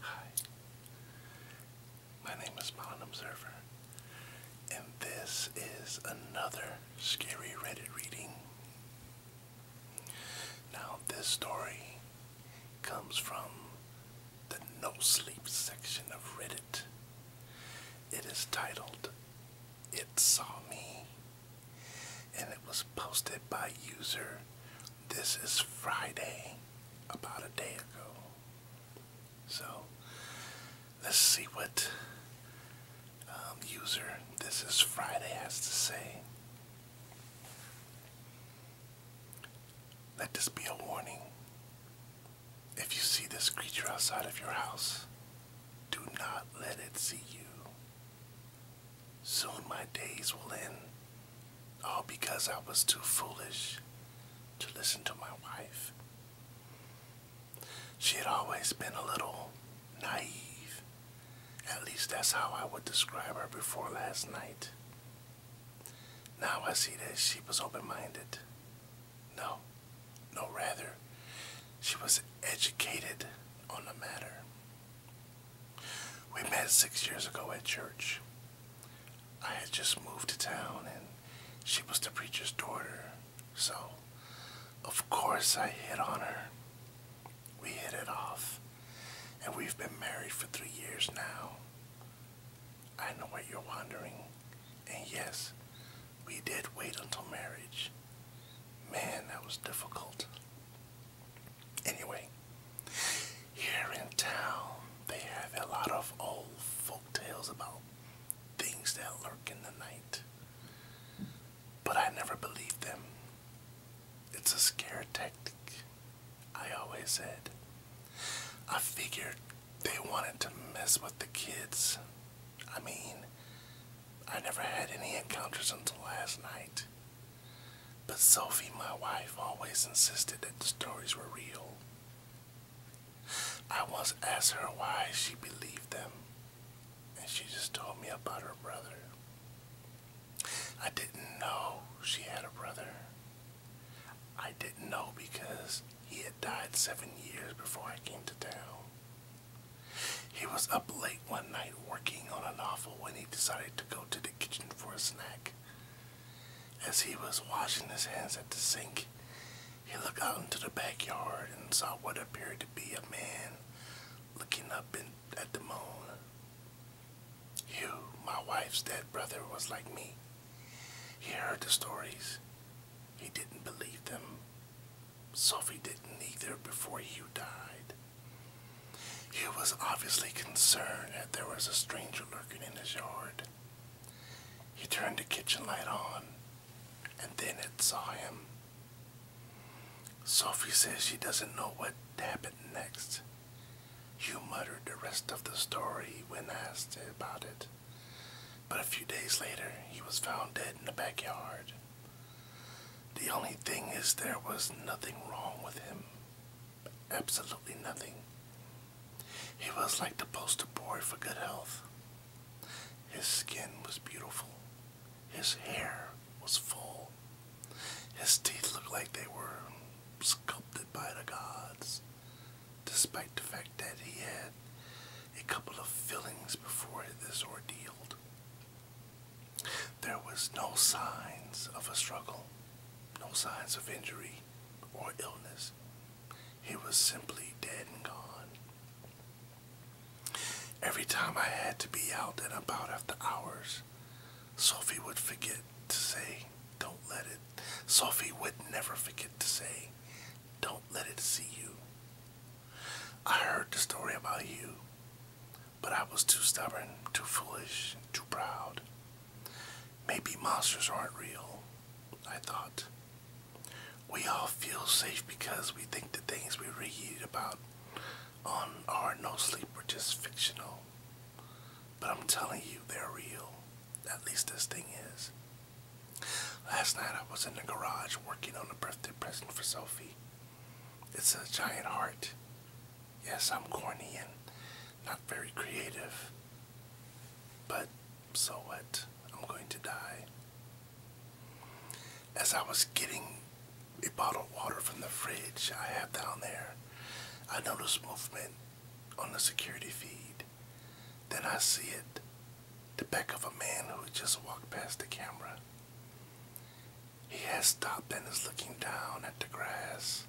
Hi, my name is Bond Observer, and this is another scary Reddit reading. Now, this story comes from the No Sleep section of Reddit. It is titled It Saw Me and it was posted by user This is Friday about a day ago. So let's see what um, user This is Friday has to say. Let this be a warning. If you see this creature outside of your house, do not let it see you. Soon my days will end, all because I was too foolish to listen to my wife. She had always been a little naive. At least that's how I would describe her before last night. Now I see that she was open minded. No, no, rather, she was educated on the matter. We met six years ago at church. I had just moved to town and she was the preacher's daughter, so of course I hit on her. We hit it off, and we've been married for three years now. I know what you're wondering, and yes, we did wait until marriage. Man, that was difficult. Anyway, here in town, they have a lot of old folk tales about things that lurk in the night. But I never believed them. It's a scare tactic. I always said. I figured they wanted to mess with the kids. I mean, I never had any encounters until last night. But Sophie, my wife, always insisted that the stories were real. I once asked her why she believed them, and she just told me about her brother. I didn't know she had a brother. I didn't know because he had died seven years before I came to town. He was up late one night working on a novel when he decided to go to the kitchen for a snack. As he was washing his hands at the sink, he looked out into the backyard and saw what appeared to be a man looking up at the moon. Hugh, my wife's dead brother, was like me. He heard the stories. He didn't believe them. Sophie didn't either before Hugh died. Hugh was obviously concerned that there was a stranger lurking in his yard. He turned the kitchen light on, and then it saw him. Sophie says she doesn't know what happened next. You muttered the rest of the story when asked about it, but a few days later he was found dead in the backyard. The only thing is, there was nothing wrong with him. Absolutely nothing. He was like the poster boy for good health. His skin was beautiful. His hair was full his teeth looked like they were sculpted by the gods, despite the fact that he had a couple of fillings before this ordeal. There was no signs of a struggle, no signs of injury or illness. He was simply dead and gone. Every time I had to be out and about after hours, Sophie would forget to say, Don't let it. Sophie would never forget to say, Don't let it see you. I heard the story about you, but I was too stubborn, too foolish, too proud. Maybe monsters aren't real, I thought. We all feel safe because we think the things we read about on our no sleep were just fictional. But I'm telling you, they're real. At least this thing is. Last night I was in the garage working on a birthday present for Sophie. It's a giant heart. Yes, I'm corny and not very creative. But so what? I'm going to die. As I was getting a bottle of water from the fridge I have down there. I notice movement on the security feed. Then I see it. The back of a man who just walked past the camera. He has stopped and is looking down at the grass.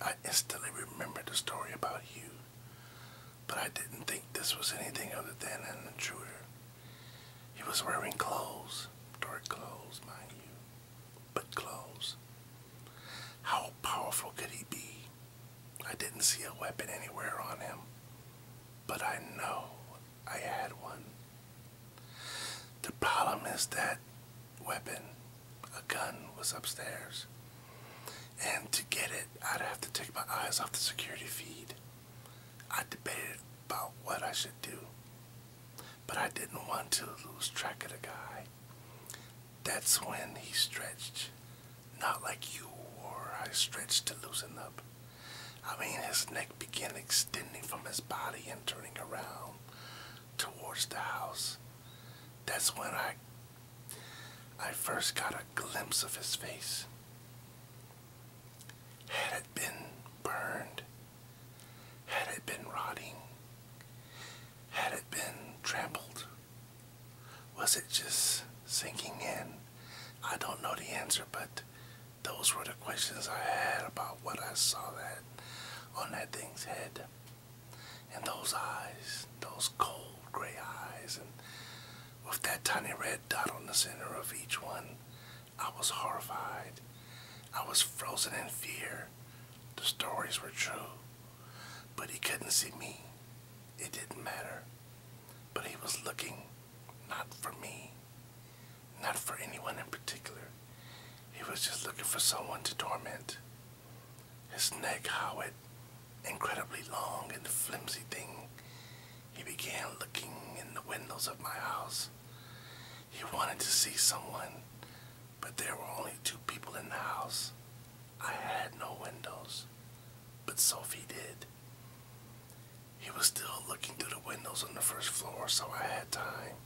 I instantly remembered the story about you, but I didn't think this was anything other than an intruder. He was wearing clothes, dark clothes, mind you but clothes. How powerful could he be? I didn't see a weapon anywhere on him, but I know I had one. The problem is that weapon, a gun, was upstairs. And to get it, I'd have to take my eyes off the security feed. I debated about what I should do. But I didn't want to lose track of the guy. That's when he stretched. Not like you or I stretched to loosen up. I mean, his neck began extending from his body and turning around towards the house. That's when I, I first got a glimpse of his face. Had it been burned, had it been rotting? Had it been trampled? Was it just sinking in? I don't know the answer, but those were the questions I had about what I saw that on that thing's head. And those eyes, those cold gray eyes, and with that tiny red dot on the center of each one, I was horrified. I was frozen in fear. The stories were true. But he couldn't see me. It didn't matter. But he was looking not for me, not for anyone in particular. He was just looking for someone to torment. His neck how it— incredibly long and flimsy thing. He began looking in the windows of my house. He wanted to see someone, but there were only two people in the house. I had no windows, but Sophie did. He was still looking through the windows on the first floor, so I had time.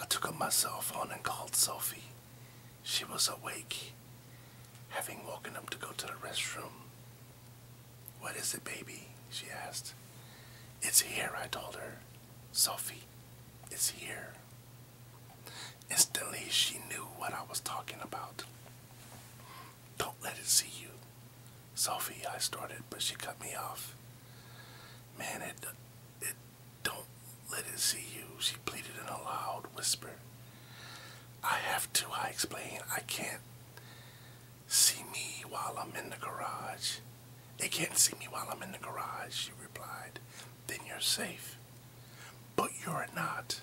I took up my cellphone and called Sophie. She was awake, having woken up to go to the restroom. What is it, baby? she asked. It's here, I told her. Sophie is here. Instantly, she knew what I was talking about. Don't let it see you. Sophie, I started, but she cut me off. Man, it, it, don't let it see you, she pleaded in a loud whisper. I have to, I explained. I can't See me while I'm in the garage. They can't see me while I'm in the garage, she replied. Then you're safe. But you're not.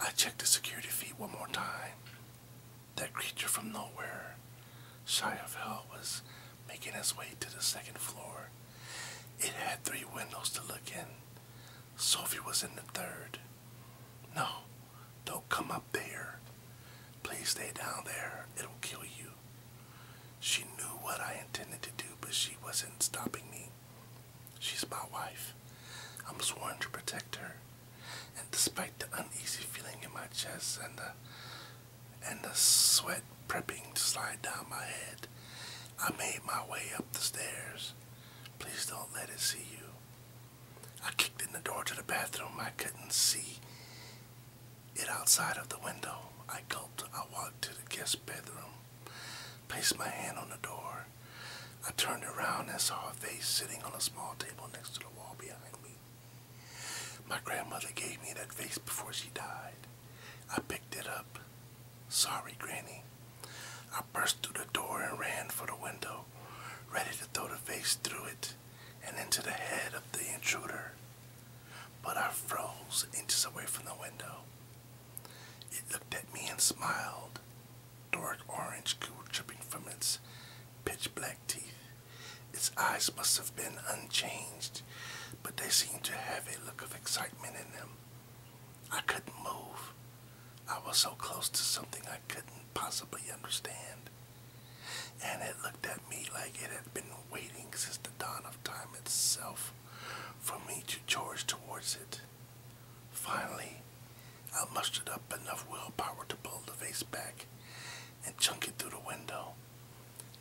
I checked the security feed one more time. That creature from nowhere, shy of hell, was making its way to the second floor. It had three windows to look in. Sophie was in the third. No, don't come up there. Please stay down there. It'll kill you. She knew what I intended to do, but she wasn't stopping me. She's my wife. I'm sworn to protect her. And despite the uneasy feeling in my chest and the and the sweat prepping to slide down my head, I made my way up the stairs. Please don't let it see you. I kicked in the door to the bathroom. I couldn't see it outside of the window. I gulped. I walked to the guest bedroom, placed my hand on the door. I turned around and saw a face sitting on a small table next to the wall behind me. My grandmother gave me that vase before she died. I picked it up. Sorry, Granny. I burst through the door and ran for the window, ready to throw the vase through it and into the head of the intruder, but I froze inches away from the window. It looked at me and smiled, dark orange goo dripping from its pitch black teeth. Its eyes must have been unchanged, but they seemed to have a look of excitement in them. I couldn't move. I was so close to something I couldn't possibly understand and it looked at me like it had been waiting since the dawn of time itself for me to charge towards it. Finally, I mustered up enough willpower to pull the vase back and chunk it through the window.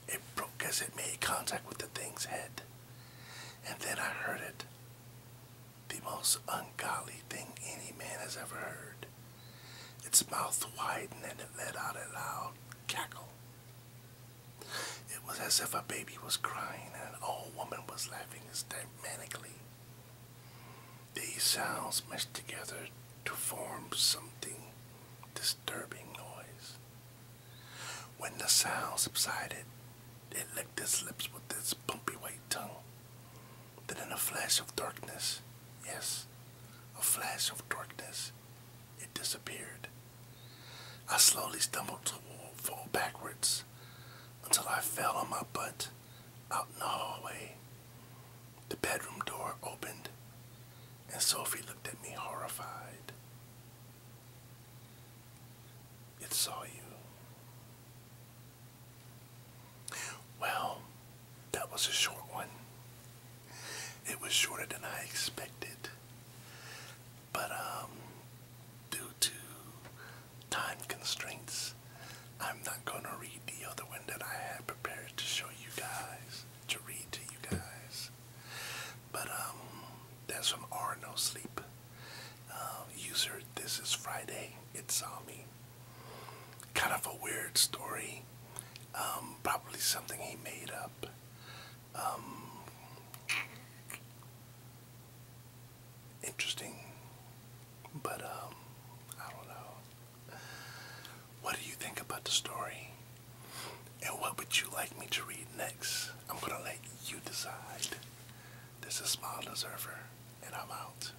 It broke as it made contact with the thing's head, and then I heard it. The most ungodly thing any man has ever heard. Its mouth widened and it let out a loud cackle. It was as if a baby was crying and an old woman was laughing hysterically. These sounds meshed together to form something disturbing noise. When the sound subsided, it licked its lips with its bumpy white tongue that in a flash of darkness, yes, a flash of darkness, it disappeared. I slowly stumbled to fall backwards until I fell on my butt out in the hallway. The bedroom door opened, and Sophie looked at me horrified. It saw you. Well, that was a short one. It was shorter than I expected. But um due to time constraints, I'm not going to read the other one that I had prepared to show you guys, to read to you guys. But um that's from Arno Sleep. Uh, user, this is Friday. It's on me. Kind of a weird story. Um, probably something he made up. Um, interesting, but um, I don't know. What do you think about the story? And what would you like me to read next? I'm gonna let you decide. This is Smile Deserver, and I'm out.